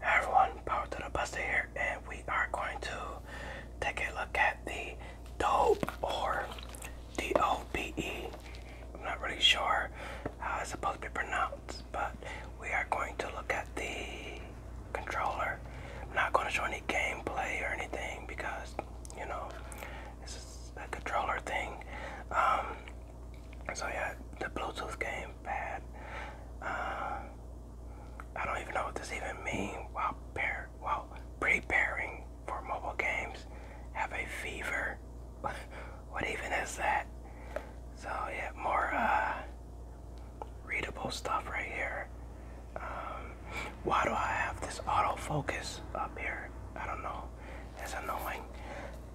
Hi everyone, power to the buster here, and we are going to take a look at the dope or D-O-B-E. I'm not really sure how it's supposed to be pronounced, but we are going to look at the controller. I'm not going to show any gameplay or anything because you know this is a controller thing. Um, so yeah, the Bluetooth game bad. Uh, I don't even know what this even means. While, pair, preparing for mobile games, have a fever. what even is that? So yeah, more uh, readable stuff right here. Um, why do I have this autofocus up here? I don't know. It's annoying.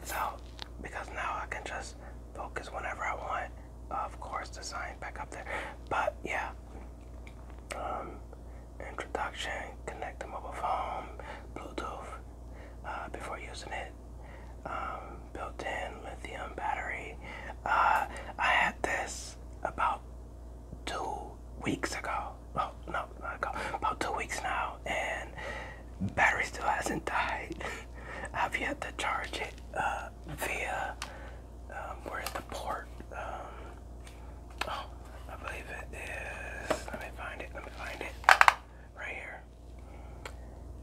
So, because now I can just focus whenever I want. Of course, design back up there. But yeah, um, introduction, connect the mobile phone, Bluetooth uh, before using it, um, built-in lithium battery. Uh, I had this about two weeks ago. Oh no, not ago. About two weeks now, and battery still hasn't died. I've yet to charge it uh, via um, where's the port? Um, oh, I believe it is. Let me find it. Let me find it. Right here.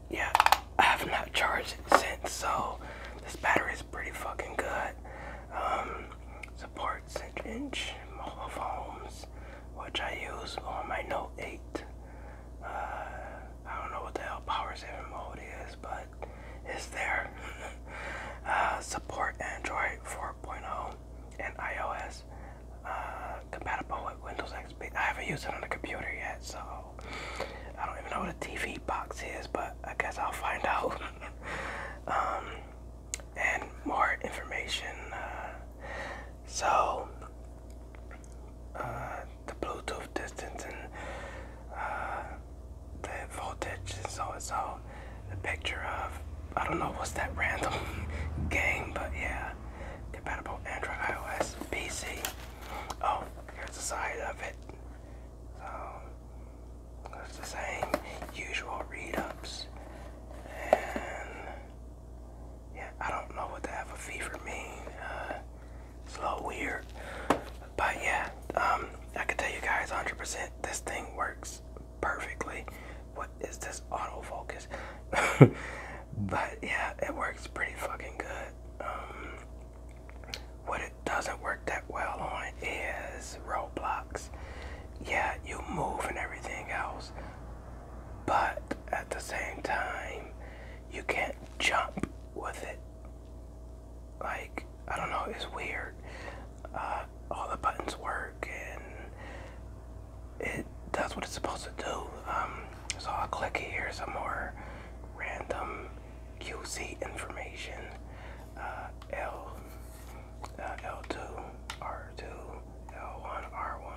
Yeah, I have not charged it since, so this battery is pretty fucking good. Um, supports inch mobile phones, which I use on my Note 8. Uh, I don't know what the hell power saving mode is, but it's there. Uh, support Android 4.0 and iOS. Uh, compatible with Windows XP. I haven't used it on a computer yet, so I don't even know what a TV box is, but I guess I'll find out. Um, and more information. Uh, so the Bluetooth distance and uh, the voltage and so it's all the picture of I don't know what's that random game, but yeah, compatible Android, iOS, PC. Oh, here's the side of it. So it's the same usual read-ups and yeah, I don't know what to have a fever mean. Uh, it's a little weird. But yeah, um, I can tell you guys 100% this thing works perfectly. What is this autofocus? but yeah, it works pretty fucking good. Um, what it doesn't work that well on is roadblocks. Yeah, you move and everything else, but at the same time, you can't jump with it. Like, I don't know, it's weird. Uh, all the buttons work and it does what it's supposed to do. Um, so I'll click here some more random QC information. Uh, L, L2, R2, L1, R1.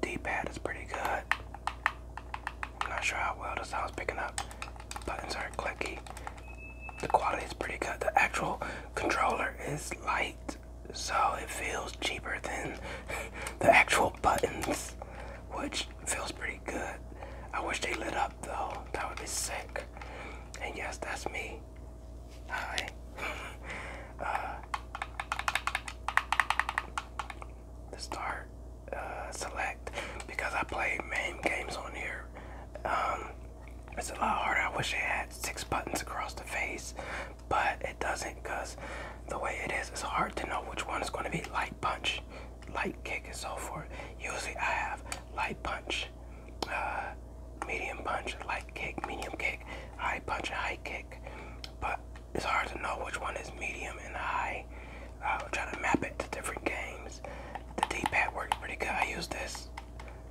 D-pad is pretty good. I'm not sure how well the sound's picking up. Buttons are clicky. The quality is pretty good. The actual controller is light, so it feels cheaper than the actual buttons, which feels pretty good. I wish they lit up though. That would be sick. And yes, that's me. Hi. uh, start uh, select because I play main games on here. Um, it's a lot harder. I wish it had six buttons across the face, but it doesn't because the way it is, it's hard to know which one is going to be light punch, light kick, and so forth. Usually I have light punch, uh, medium punch, light kick, medium kick, high punch, high kick. But it's hard to know which one is medium and high. Uh, i am trying to map it to different games. The D-pad works pretty good. I use this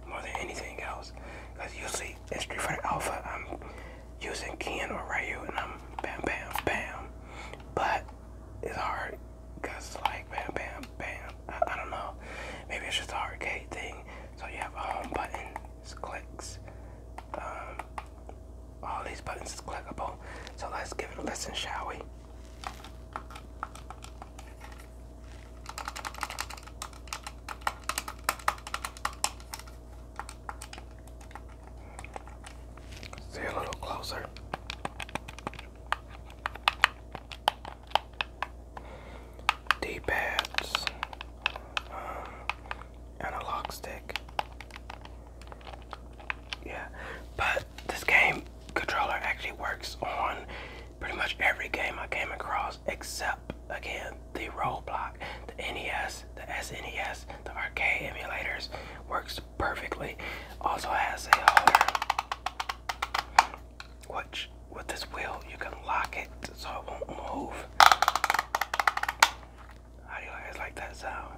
more than anything else. Because you see, it's Street Fighter Alpha, I'm using Ken or Ryu and I'm bam, bam, bam. But it's hard because like bam, bam, bam. I don't know. Maybe it's just a arcade thing. So you have a home button is clicks. Um, all these buttons is clickable. So let's give it a listen, shall we? See a little closer. D-pads, um, analog stick. Yeah, but this game controller actually works on pretty much every game I came across except again the Roblox, the NES, the SNES, the arcade emulators works perfectly. Also has a holder, which with this wheel, you can lock it so it won't move. How do you guys like that sound?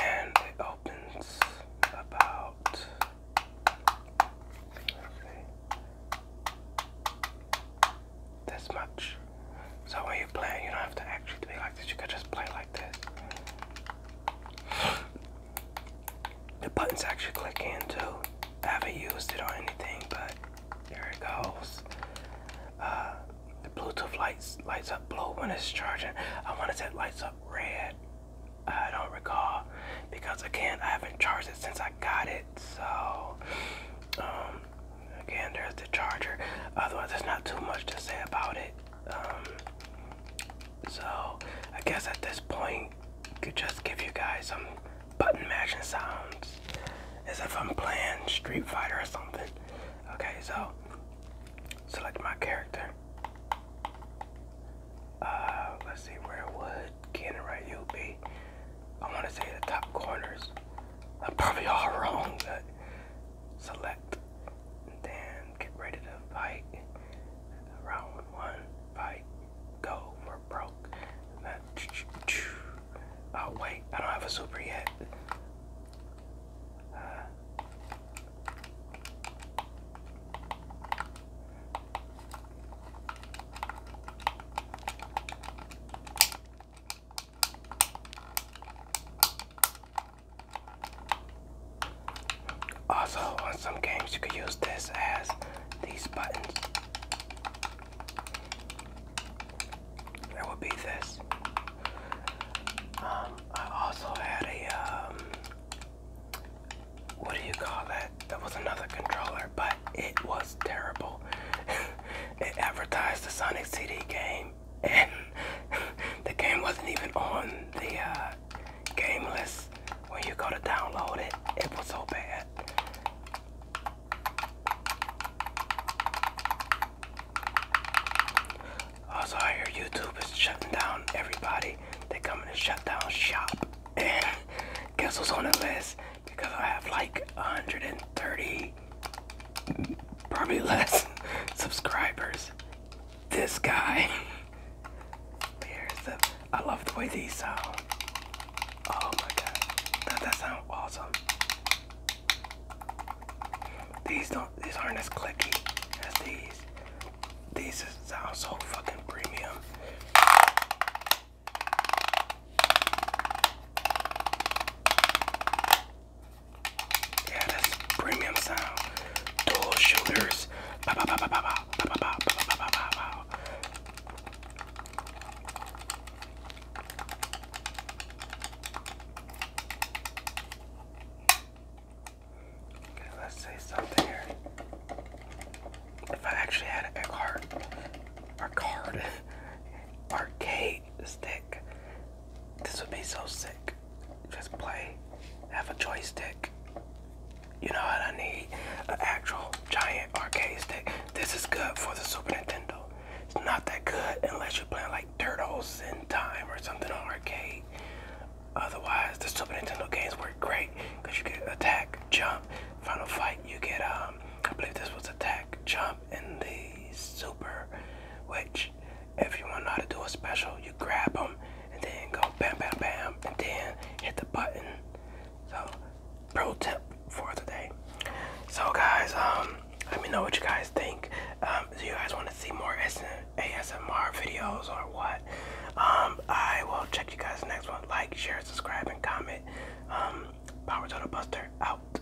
And it opens about this much. So when you play, you don't have to actually be like this. You could just play like the button's actually click in too. I haven't used it or anything, but there it goes. Uh, the Bluetooth lights lights up blue when it's charging. I want to say lights up red. I don't recall because again I haven't charged it since I got it. So um, again, there's the charger. Otherwise, there's not too much to say about it. Um, so I guess at this point, could just give you guys some button mashing sounds, as if I'm playing Street Fighter or something. Okay, so select my character. Uh, let's see where would Ken and Ryu be? I want to say the top corners. I'm probably all wrong, but select. Then get ready to fight. Round one, fight. Go for broke. Oh wait, I don't have a super yet. Also, on some games, you could use this as these buttons. There would be this. Um, I also had a, um, what do you call that? That was another controller, but it was terrible. it advertised the Sonic CD game the game wasn't even on the uh, game list. When you go to download it, it was so bad. Also, I hear YouTube is shutting down everybody. They're coming to shut down shop. And guess who's on the list? Because I have like 130 probably less subscribers. This guy. Here's the. I love the way these sound. Oh my god, that that sound awesome. These don't. These aren't as clicky as these. These sound so fucking premium. Yeah, that's premium sound. Dual shooters. let's say something here. if I actually had a card? Or card. Arcade stick. This would be so sick. Just play, have a joystick. You know what I need? An actual giant arcade stick. This is good for the Super Nintendo. It's not that good unless you're playing like Turtles in Time or something on arcade. Otherwise, the Super Nintendo games work great because you get attack, jump, final fight. You get um, I believe this was attack, jump, and the super, which if you want to know how to do a special, you grab them and then go bam, bam, bam, and then hit the button. So, pro tip for today. So, guys, um, let me know what you guys think. Um, do you guys want to see more ASMR videos or what? Um, I will check you guys next one. Like, share, subscribe, and comment. Um, Power Total Buster out.